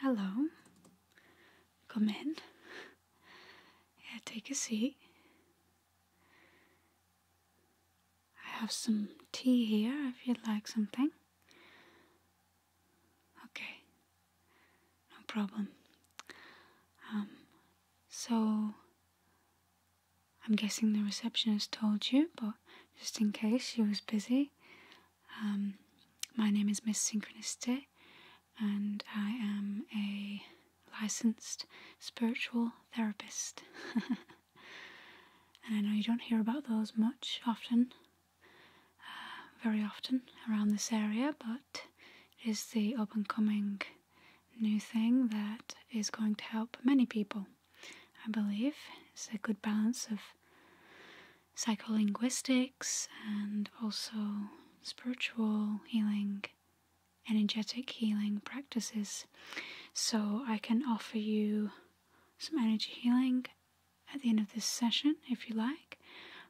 Hello. Come in. Yeah, take a seat. I have some tea here if you'd like something. Okay no problem. Um, so, I'm guessing the receptionist told you, but just in case she was busy, um, my name is Miss Synchronicity, and I am a licensed spiritual therapist. and I know you don't hear about those much often, uh, very often around this area, but is the up and coming new thing that is going to help many people. I believe it's a good balance of psycholinguistics and also spiritual healing, energetic healing practices. So I can offer you some energy healing at the end of this session if you like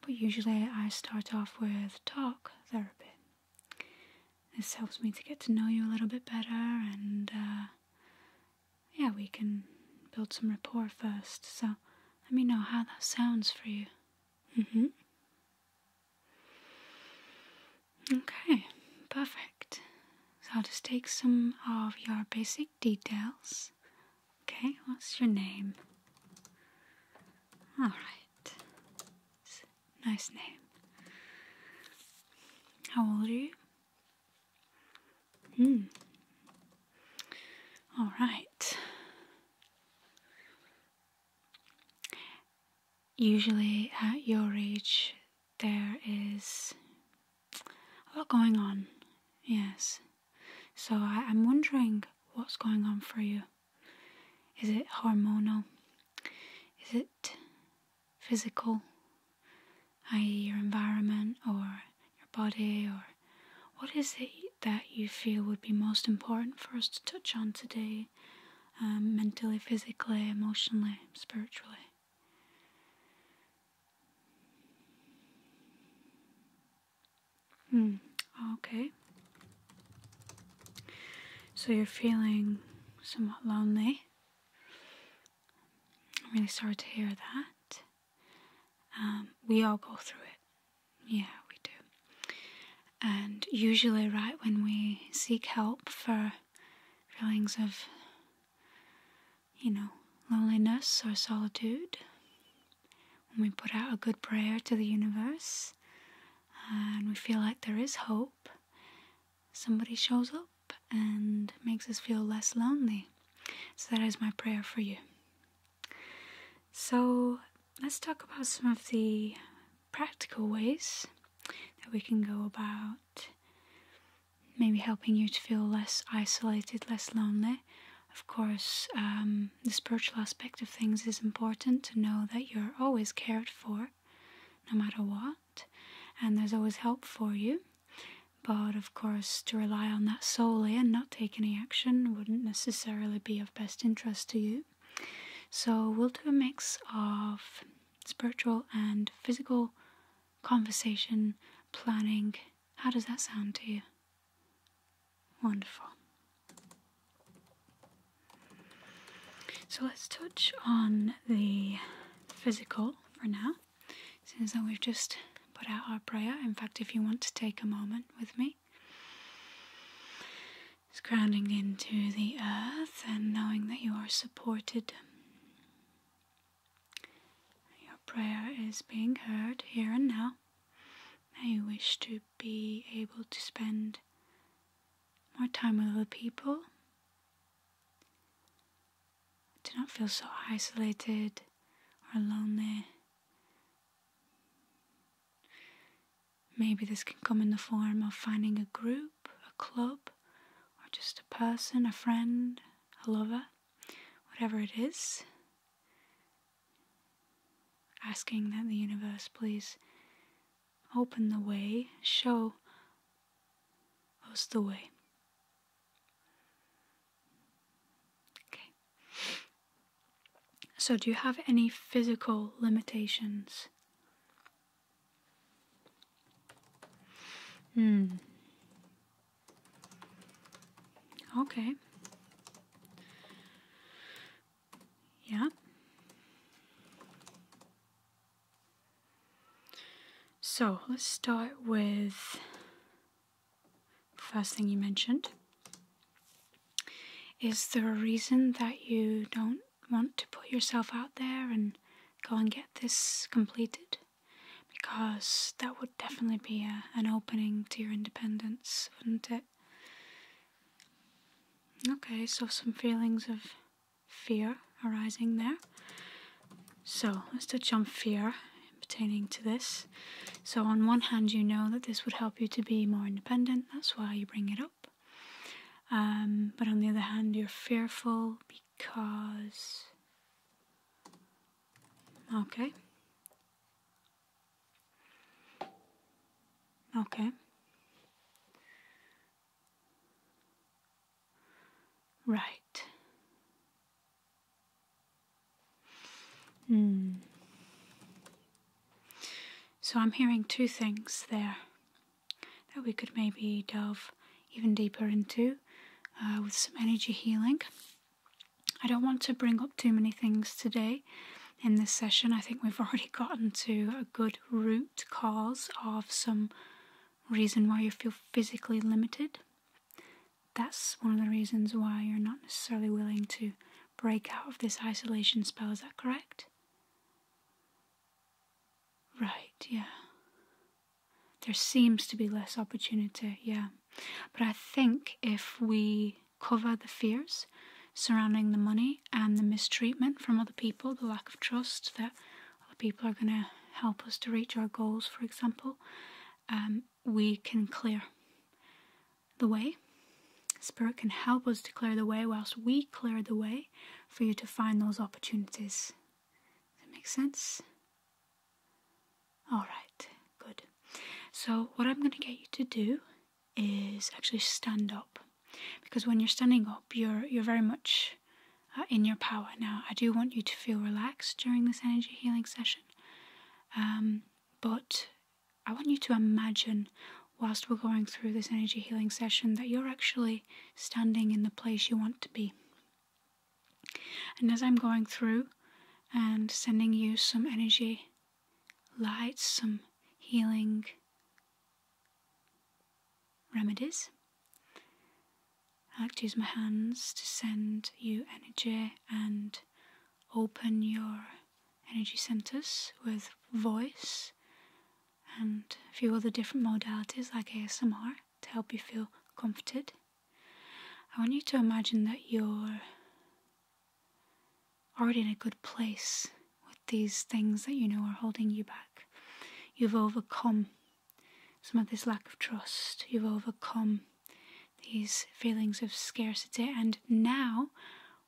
but usually I start off with talk therapy. This helps me to get to know you a little bit better, and uh, yeah, we can build some rapport first. So let me know how that sounds for you. hmm Okay, perfect. So I'll just take some of your basic details Okay, what's your name? All right. Nice name. How old are you? Hmm. All right. Usually at your age, there is a lot going on. Yes. So I, I'm wondering what's going on for you. Is it hormonal? Is it physical, i.e., your environment or your body? Or what is it that you feel would be most important for us to touch on today, um, mentally, physically, emotionally, spiritually? Hmm, okay. So you're feeling somewhat lonely. I'm really sorry to hear that. Um, we all go through it. Yeah, we do. And usually, right when we seek help for feelings of, you know, loneliness or solitude, when we put out a good prayer to the universe and we feel like there is hope, somebody shows up and makes us feel less lonely. So, that is my prayer for you. So, let's talk about some of the practical ways that we can go about maybe helping you to feel less isolated, less lonely. Of course, um, the spiritual aspect of things is important to know that you're always cared for, no matter what, and there's always help for you. But of course, to rely on that solely and not take any action wouldn't necessarily be of best interest to you. So, we'll do a mix of spiritual and physical conversation planning. How does that sound to you? Wonderful. So let's touch on the physical for now, since that we've just put out our prayer. In fact, if you want to take a moment with me, it's grounding into the earth and knowing that you are supported. Your prayer is being heard here and now. May you wish to be able to spend more time with other people, to not feel so isolated or lonely. Maybe this can come in the form of finding a group, a club, or just a person, a friend, a lover, whatever it is asking that the universe please open the way, show us the way. Okay. So, do you have any physical limitations? Hmm. Okay. Yeah. So let's start with first thing you mentioned. Is there a reason that you don't want to put yourself out there and go and get this completed? Because that would definitely be an opening to your independence, wouldn't it? Okay, so some feelings of fear arising there. So let's touch on fear pertaining to this. So, on one hand, you know that this would help you to be more independent, that's why you bring it up. Um, but on the other hand, you're fearful because. Okay. Okay. Right. Hmm. So I'm hearing two things there that we could maybe delve even deeper into uh, with some energy healing. I don't want to bring up too many things today in this session, I think we've already gotten to a good root cause of some reason why you feel physically limited. That's one of the reasons why you're not necessarily willing to break out of this isolation spell, is that correct? Right, yeah. There seems to be less opportunity, yeah. But I think if we cover the fears surrounding the money and the mistreatment from other people, the lack of trust that other people are going to help us to reach our goals, for example, um, we can clear the way. Spirit can help us to clear the way whilst we clear the way for you to find those opportunities. Does that make sense? Alright, good. So, what I'm going to get you to do is actually stand up because when you're standing up you're you're very much uh, in your power now i do want you to feel relaxed during this energy healing session um, but i want you to imagine whilst we're going through this energy healing session that you're actually standing in the place you want to be and as i'm going through and sending you some energy light, some healing remedies. I like to use my hands to send you energy and open your energy centers with voice and a few other different modalities like ASMR to help you feel comforted. I want you to imagine that you're already in a good place with these things that you know are holding you back. You've overcome some of this lack of trust, you've overcome these feelings of scarcity, and now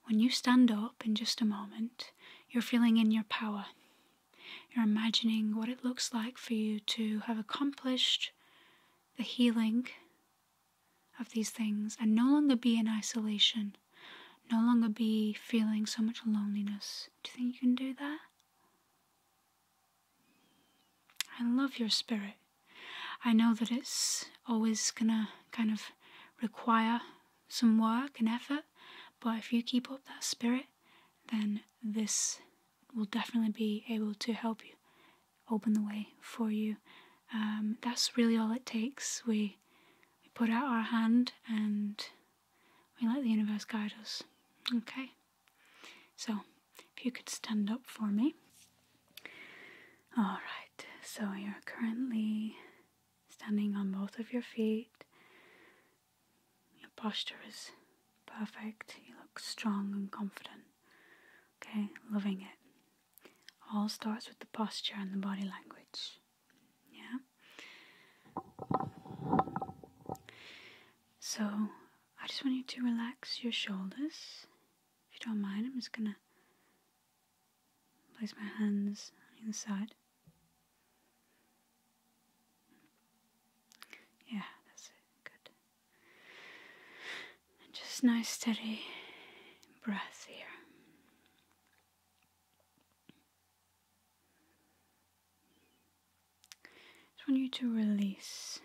when you stand up in just a moment, you're feeling in your power. You're imagining what it looks like for you to have accomplished the healing of these things and no longer be in isolation no longer be feeling so much loneliness. Do you think you can do that? I love your spirit. I know that it's always gonna kind of require some work and effort, but if you keep up that spirit, then this will definitely be able to help you open the way for you. Um, that's really all it takes. We we put out our hand and we let the universe guide us. Okay? So, if you could stand up for me. Alright, so you're currently standing on both of your feet. Your posture is perfect. You look strong and confident. Okay, loving it. All starts with the posture and the body language. Yeah. So I just want you to relax your shoulders. If you don't mind, I'm just gonna place my hands on either side. Yeah, that's Good. just nice steady breath here just want you to release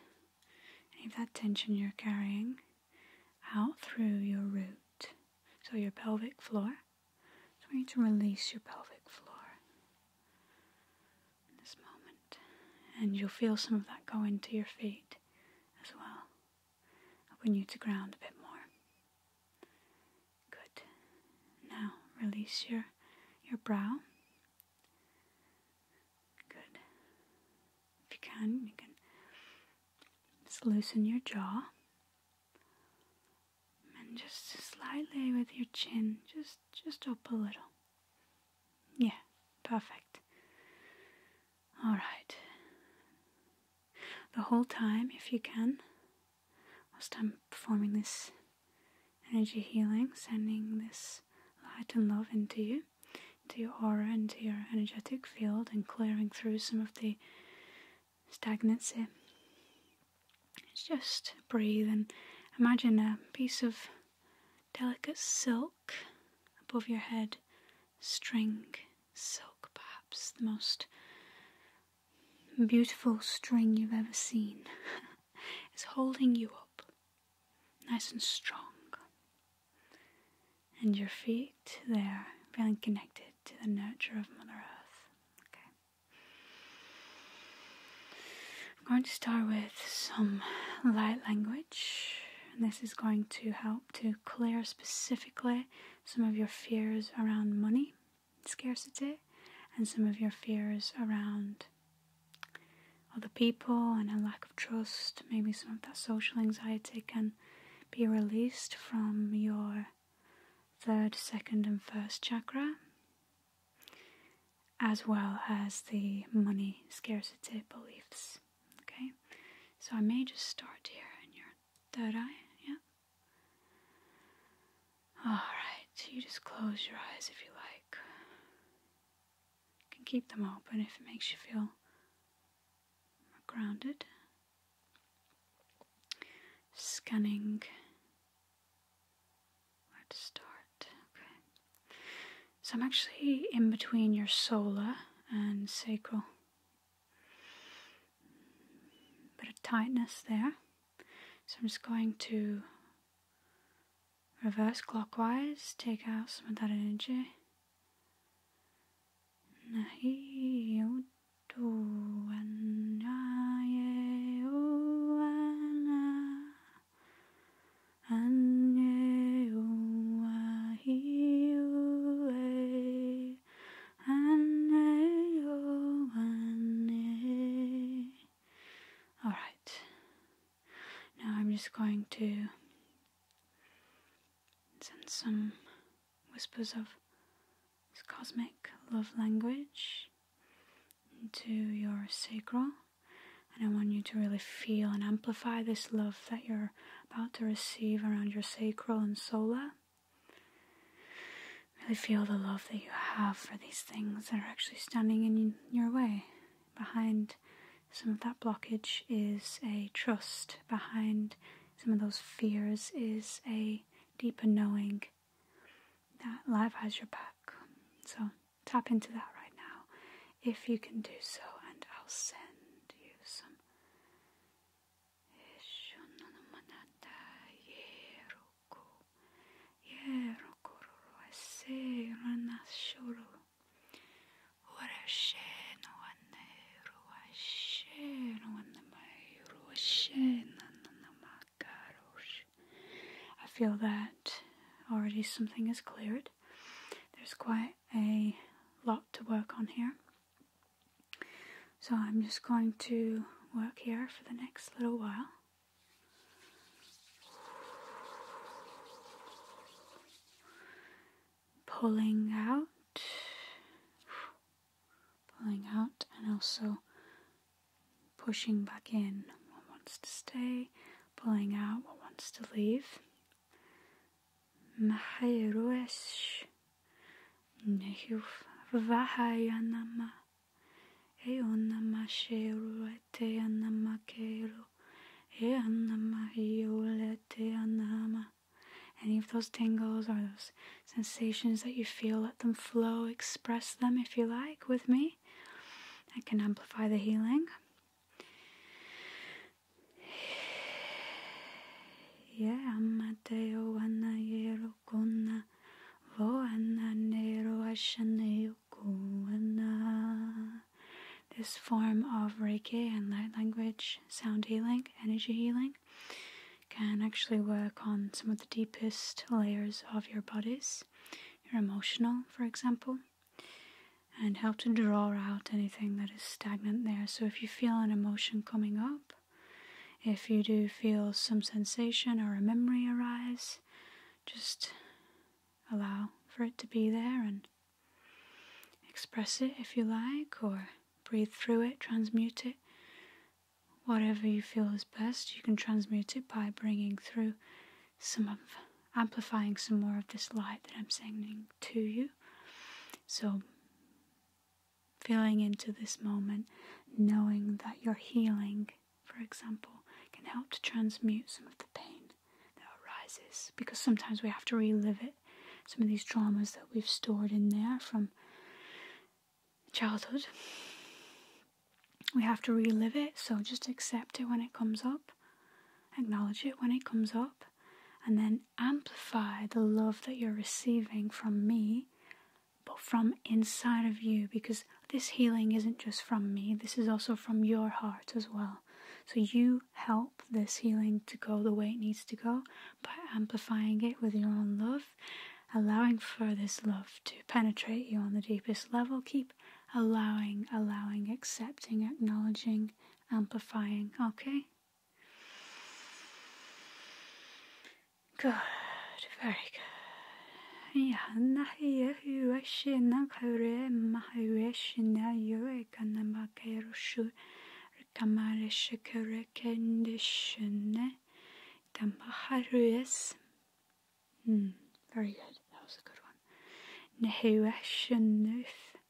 any of that tension you're carrying out through your root, so your pelvic floor. I want you to release your pelvic floor in this moment, and you'll feel some of that go into your feet as well, helping you to ground a bit more. Good. Now release your your brow. Good. If you can, you can just loosen your jaw and just slightly with your chin, just just up a little. Yeah, perfect. All right. The whole time, if you can, whilst I'm performing this energy healing, sending this light and love into you, into your aura, into your energetic field, and clearing through some of the stagnancy. It's just breathe and imagine a piece of delicate silk above your head, string silk, perhaps the most beautiful string you've ever seen is holding you up, nice and strong. And your feet, there, feeling connected to the nurture of Mother Earth. Okay. I'm going to start with some light language. And this is going to help to clear specifically some of your fears around money scarcity and some of your fears around other people and a lack of trust, maybe some of that social anxiety can be released from your third, second, and first chakra, as well as the money scarcity beliefs. Okay, so I may just start here in your third eye, yeah. Alright, you just close your eyes if you like. You can keep them open if it makes you feel grounded. Scanning. Where to start? Okay. So I'm actually in between your solar and sacral bit of tightness there. So I'm just going to reverse clockwise, take out some of that energy. Alright. Now I'm just going to send some whispers of cosmic love language into your sacral. And I want you to really feel and amplify this love that you're about to receive around your sacral and solar. Really feel the love that you have for these things that are actually standing in your way. Behind some of that blockage is a trust, behind some of those fears is a deeper knowing that life has your back. So tap into that right now if you can do so, and I'll send you some I feel that already something is cleared. There's quite a lot to work on here. So I'm just going to work here for the next little while. Pulling out, pulling out, and also pushing back in what wants to stay, pulling out what wants to leave. محي any of those tingles or those sensations that you feel, let them flow. Express them if you like with me. I can amplify the healing. Yeah, Amateo Anayero. This form of Reiki and light language, sound healing, energy healing can actually work on some of the deepest layers of your bodies, your emotional, for example, and help to draw out anything that is stagnant there. So if you feel an emotion coming up, if you do feel some sensation or a memory arise, just allow for it to be there and express it if you like, or breathe through it, transmute it. Whatever you feel is best, you can transmute it by bringing through some of, amplifying some more of this light that I'm sending to you. So feeling into this moment, knowing that your healing, for example, can help to transmute some of the pain that arises because sometimes we have to relive it. Some of these traumas that we've stored in there from childhood, we have to relive it, so just accept it when it comes up, acknowledge it when it comes up, and then amplify the love that you're receiving from me but from inside of you because this healing isn't just from me, this is also from your heart as well. So you help this healing to go the way it needs to go by amplifying it with your own love, allowing for this love to penetrate you on the deepest level. Keep allowing, allowing, accepting, acknowledging, amplifying, okay? Good, very good. Yeah, nahi yehu eshi nakare mahu eshi na yue kanamake rushu kamare shikare kendishune tamaharu es. Hmm, very good. That was a good one. Nehu eshi nuf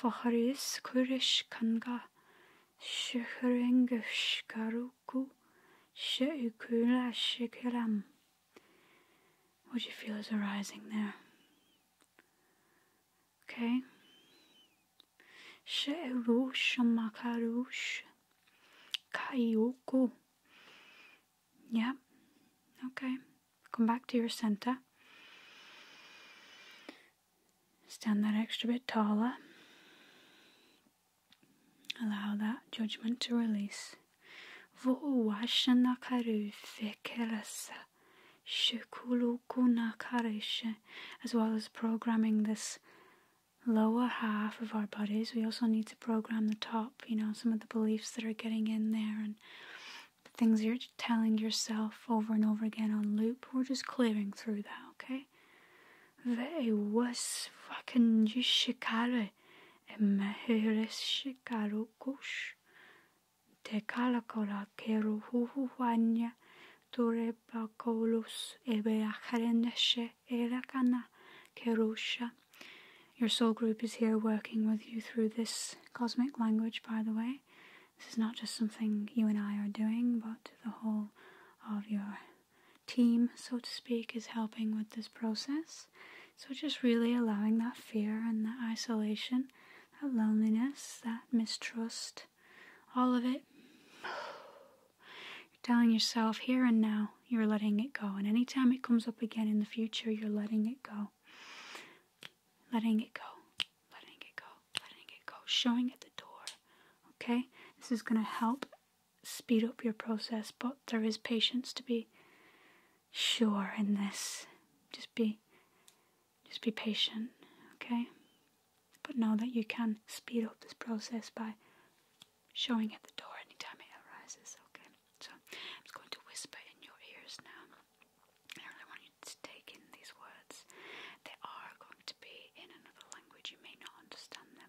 faharis kurish kanga shuharengush garu Roku She'ukula What do you feel is arising there? Okay. She'urush Makarush Kaiyoku. Yeah. Okay. Come back to your center. Stand that extra bit taller. Allow that judgment to release. As well as programming this lower half of our bodies, we also need to program the top, you know, some of the beliefs that are getting in there and the things you're telling yourself over and over again on loop. We're just clearing through that, okay? They was fucking Jishikare and Mahereshikaro Kush. Te kalakora keru huhuhuanya ture bakolus ebeahareneshe erakana kerusha. Your soul group is here working with you through this cosmic language, by the way. This is not just something you and I are doing, but the whole of your team, so to speak, is helping with this process. So, just really allowing that fear and that isolation, that loneliness, that mistrust, all of it. You're telling yourself here and now you're letting it go. And any time it comes up again in the future, you're letting it go. Letting it go. Letting it go. Letting it go. Showing at the door. Okay? This is going to help speed up your process, but there is patience to be sure in this. Just be just be patient, okay? But know that you can speed up this process by showing at the door anytime it arises, okay? So I'm just going to whisper in your ears now. I really want you to take in these words. They are going to be in another language, you may not understand them.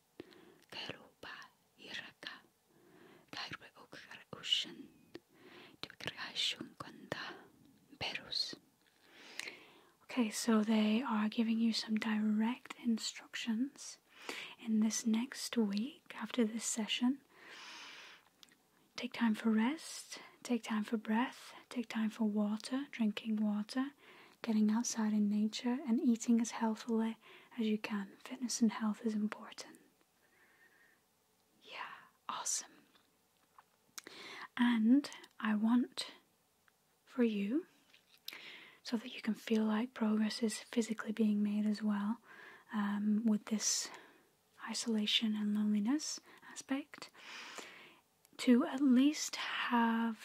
Okay, so they are giving you some direct instructions in this next week after this session. Take time for rest, take time for breath, take time for water, drinking water, getting outside in nature, and eating as healthily as you can. Fitness and health is important. Yeah, awesome. And I want for you, so that you can feel like progress is physically being made as well um, with this isolation and loneliness aspect, to at least have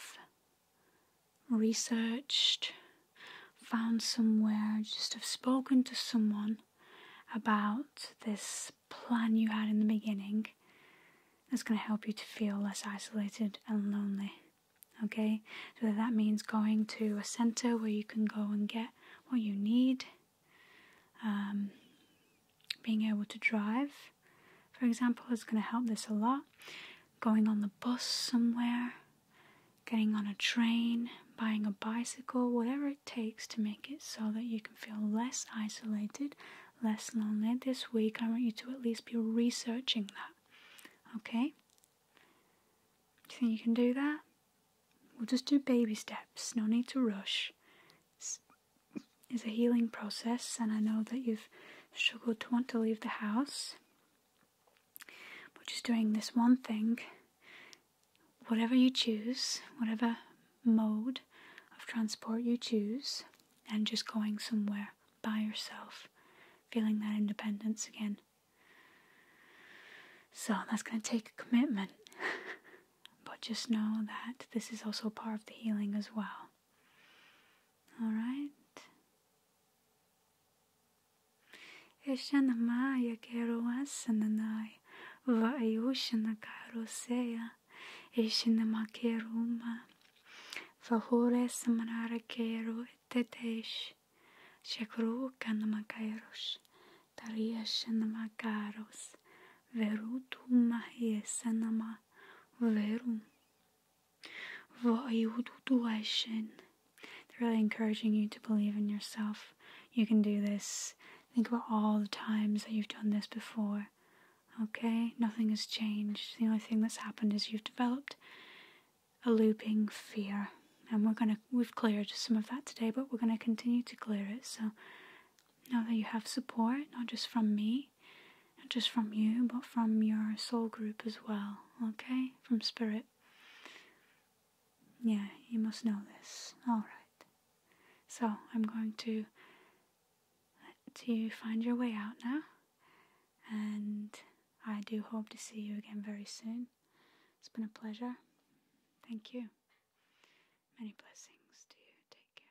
researched, found somewhere, just have spoken to someone about this plan you had in the beginning that's going to help you to feel less isolated and lonely. Okay, so that means going to a center where you can go and get what you need, um, being able to drive, for example, it's going to help this a lot. Going on the bus somewhere, getting on a train, buying a bicycle, whatever it takes to make it so that you can feel less isolated, less lonely. This week, I want you to at least be researching that. Okay? Do you think you can do that? We'll just do baby steps, no need to rush. it's a healing process, and I know that you've struggled to want to leave the house. But just doing this one thing, whatever you choose, whatever mode of transport you choose, and just going somewhere by yourself, feeling that independence again. So that's going to take commitment. but just know that this is also part of the healing as well. Alright? Eshanamaya Keroasananai Vaayushana Karosea Eshinamakeruma Fahore Samara Kero Tetesh Shakru Kanamakaros Tariashanamakaros Verutum Mahiesanama Verum they're really encouraging you to believe in yourself. You can do this. Think about all the times that you've done this before. Okay? Nothing has changed. The only thing that's happened is you've developed a looping fear. And we're gonna we've cleared some of that today, but we're gonna continue to clear it. So now that you have support, not just from me, not just from you, but from your soul group as well, okay? From spirit. Yeah, you must know this. Alright. So, I'm going to let you find your way out now, and I do hope to see you again very soon. It's been a pleasure. Thank you. Many blessings. to you.